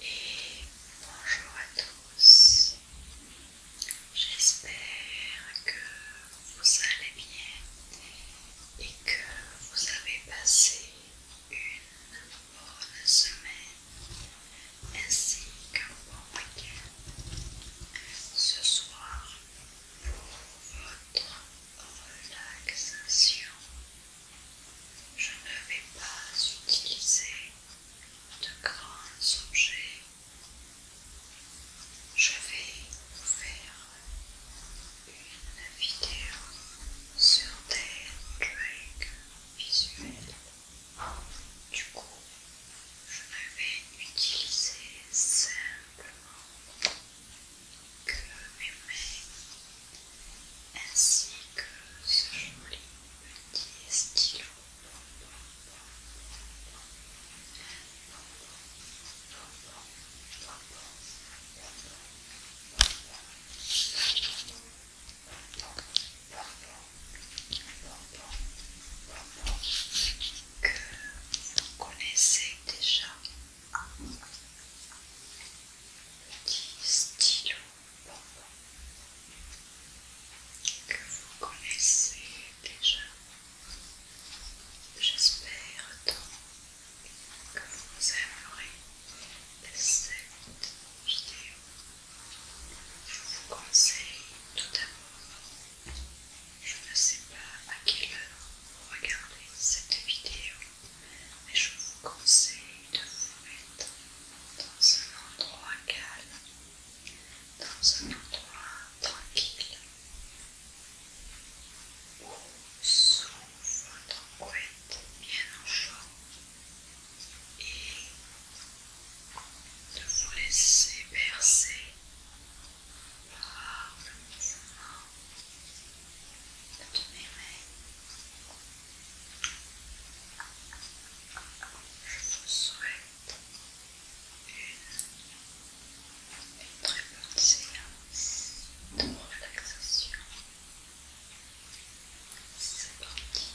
Et bonjour à tous, J'espère que vous allez bien et que vous avez passé une bonne semaine ainsi qu'un bon week-end. Ce soir, pour votre relaxation, je ne vais pas utiliser de grands objets je vais vous faire une vidéo sur des tricks visuels. Du coup, je ne vais utiliser simplement que mes mains ainsi que ce joli petit stylo que vous connaissez déjà un petit que vous connaissez déjà. J'espère donc que vous aimerez cette vidéo. Je vous conseille tout d'abord, je ne sais pas à quelle heure vous regardez cette vidéo, mais je vous conseille de vous mettre dans un endroit calme dans un endroit tranquille où sous votre couette bien en chaud et de vous laisser bercer par le mouvement de mes mains. Je vous souhaite une très bonne séance de relaxation. C'est parti.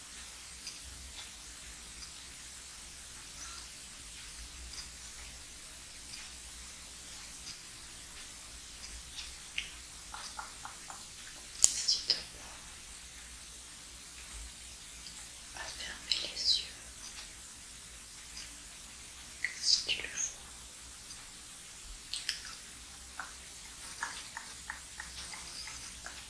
si tu fermer les yeux si tu le vois.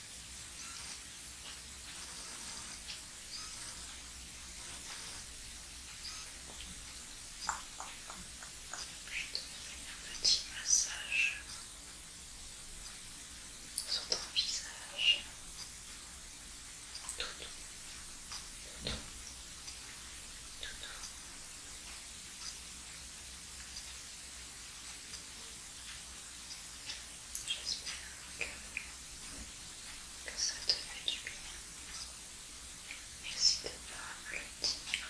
Je te fais un petit massage sur ton visage. Tout doux. Tout doux. Tout doux. J'espère que, ça te fait du bien. N'hésite pas à me le dire.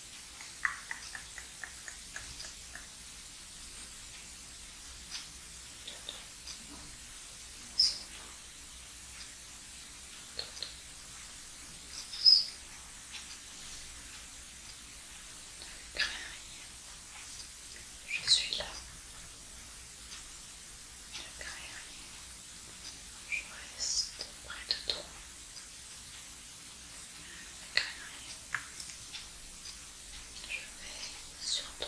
Ne je suis là. Ne rien, je reste près de toi je vais surtout...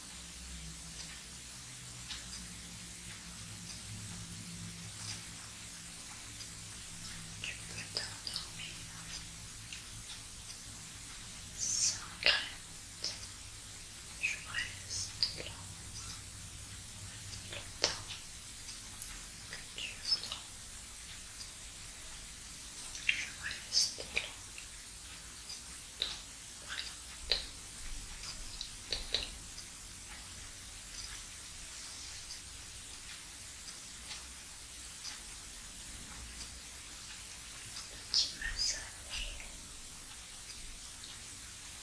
Tu peux t'endormir sans crainte. Je reste là le temps que tu voudras. Je reste là ton Petit massage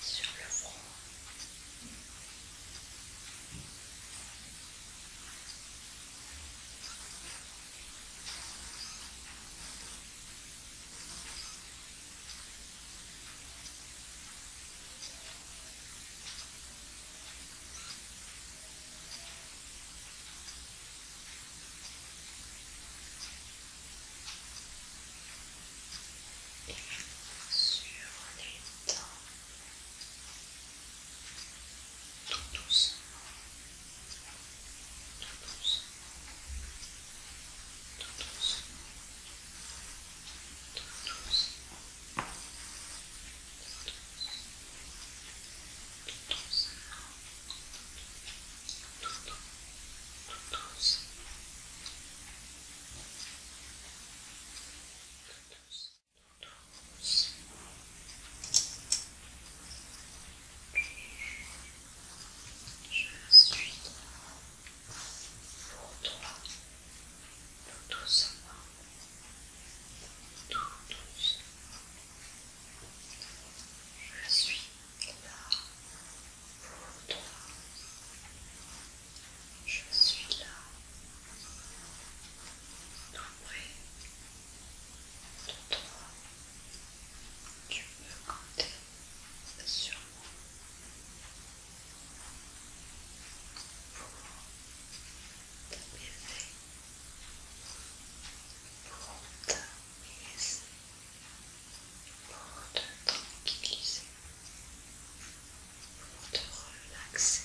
sur le front sur les tout doucement tout doucement, Je suis pour toi, tout tous tout tous. Je suis là pour toi. Je suis là, pour près de toi. Tu peux compter sûrement pour t'apaiser, pour t'apaiser, pour te tranquilliser, pour te relaxer.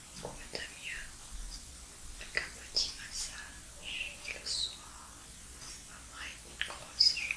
trouver de mieux un petit massage le soir après une grosse journée.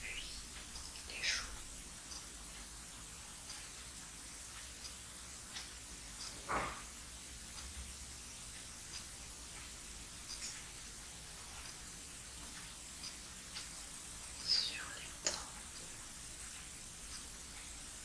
Puis les choux. Sur les tempes.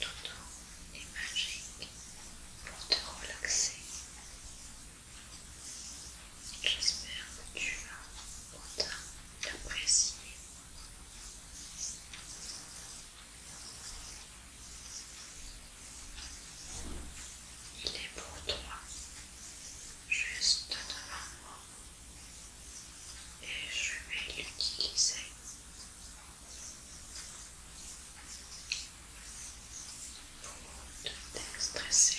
temps est magique pour te relaxer. J'espère que tu vas autant t'apprécier. Il est pour toi, juste devant moi, et je vais l'utiliser pour te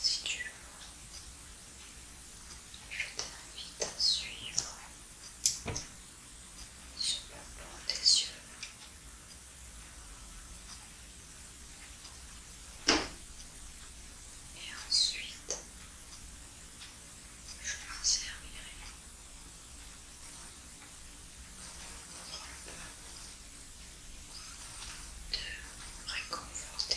Si tu veux, je t'invite à suivre sur le plan des yeux. Et ensuite, je pensais à De réconforter.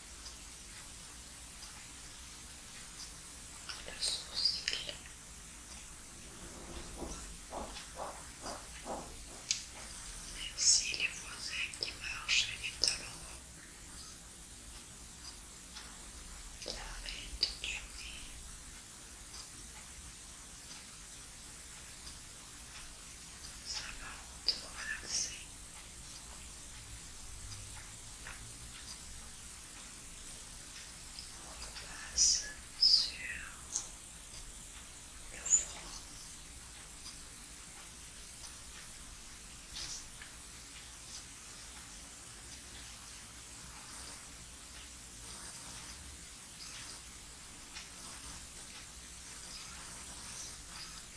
Merci les voisins qui marchent les talons ça simplement te relaxer. On passe sur le front.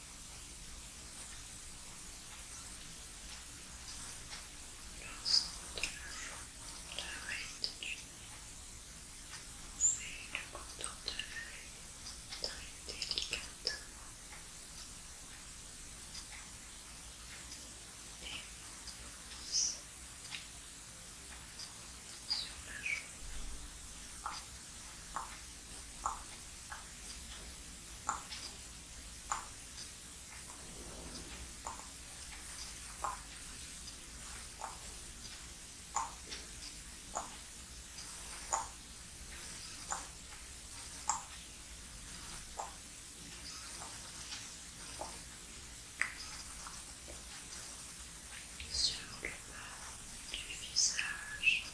L'ensemble de la forme de la réalité du nez, c'est le contour de l'œil très délicatement. Et ici, sur la jambe sur le bas du visage.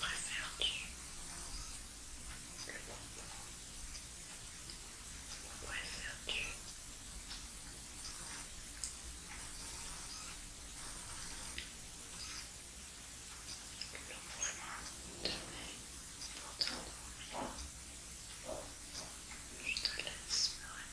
Préfères-tu Préfères-tu le mouvement Je te laisse me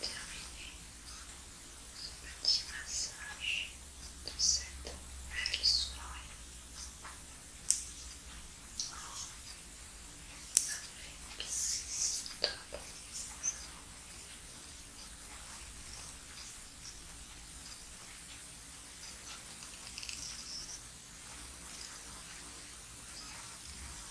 terminer ce petit massage de cette belle soirée. ça fait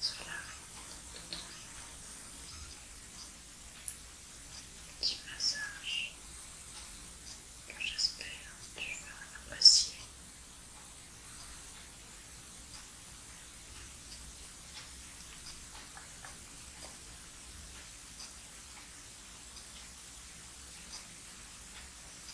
soulève de un petit massage que j'espère que tu vas apprécier.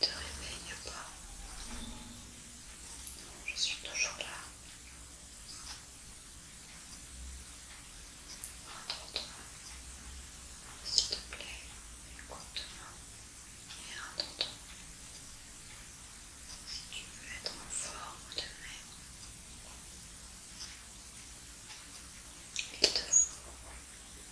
Ne te réveille pas. Je suis toujours là. Attends. toi S'il te plaît, écoute-moi et attends toi Si tu veux être en forme demain, il te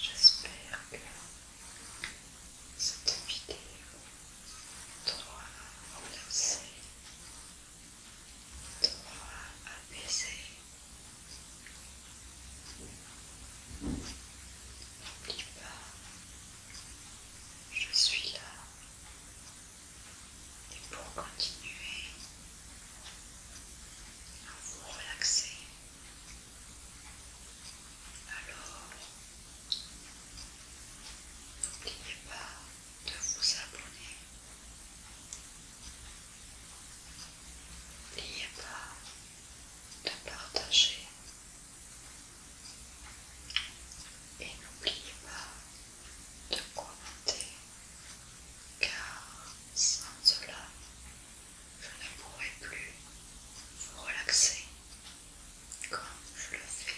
J'espère que cette vidéo t'aura relaxé toi apaisé. N'oublie pas, je suis là. Et pour continuer à vous relaxer, alors n'oubliez pas de vous abonner. N'oubliez pas de partager et n'oubliez pas de commenter car sans cela je ne pourrai plus vous relaxer comme je le fais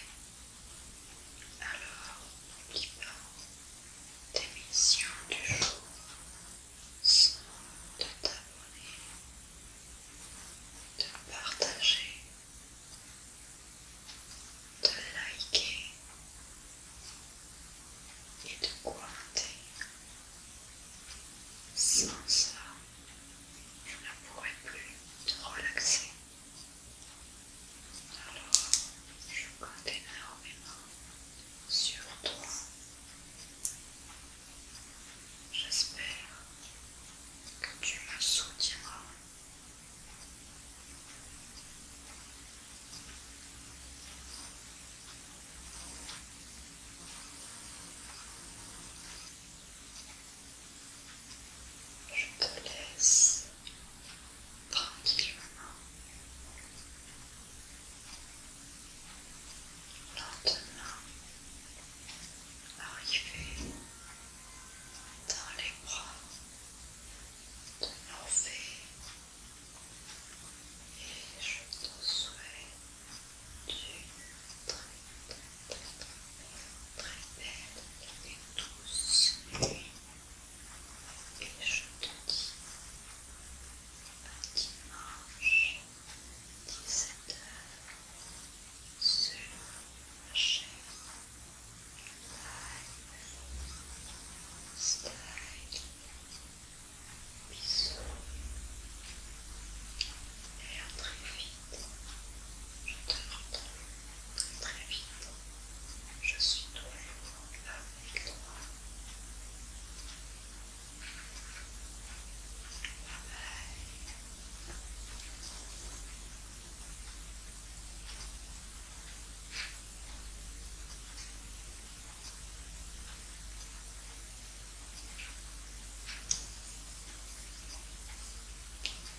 alors, n'oublie pas, tes du jour sont de t'abonner, de partager, de liker et de commenter. Sans ça, je ne pourrais plus te relaxer. Alors, je compte énormément sur toi. J'espère que tu me soutiendras. Je te laisse tranquillement, lentement arriver dans les bras de Norvée et je te souhaite du très très très belle, et douce Et je te dis à dimanche 17h sur ma chaîne Live Style. Bisous et à très vite je te pardonne très très vite, je suis toujours avec toi. Bye.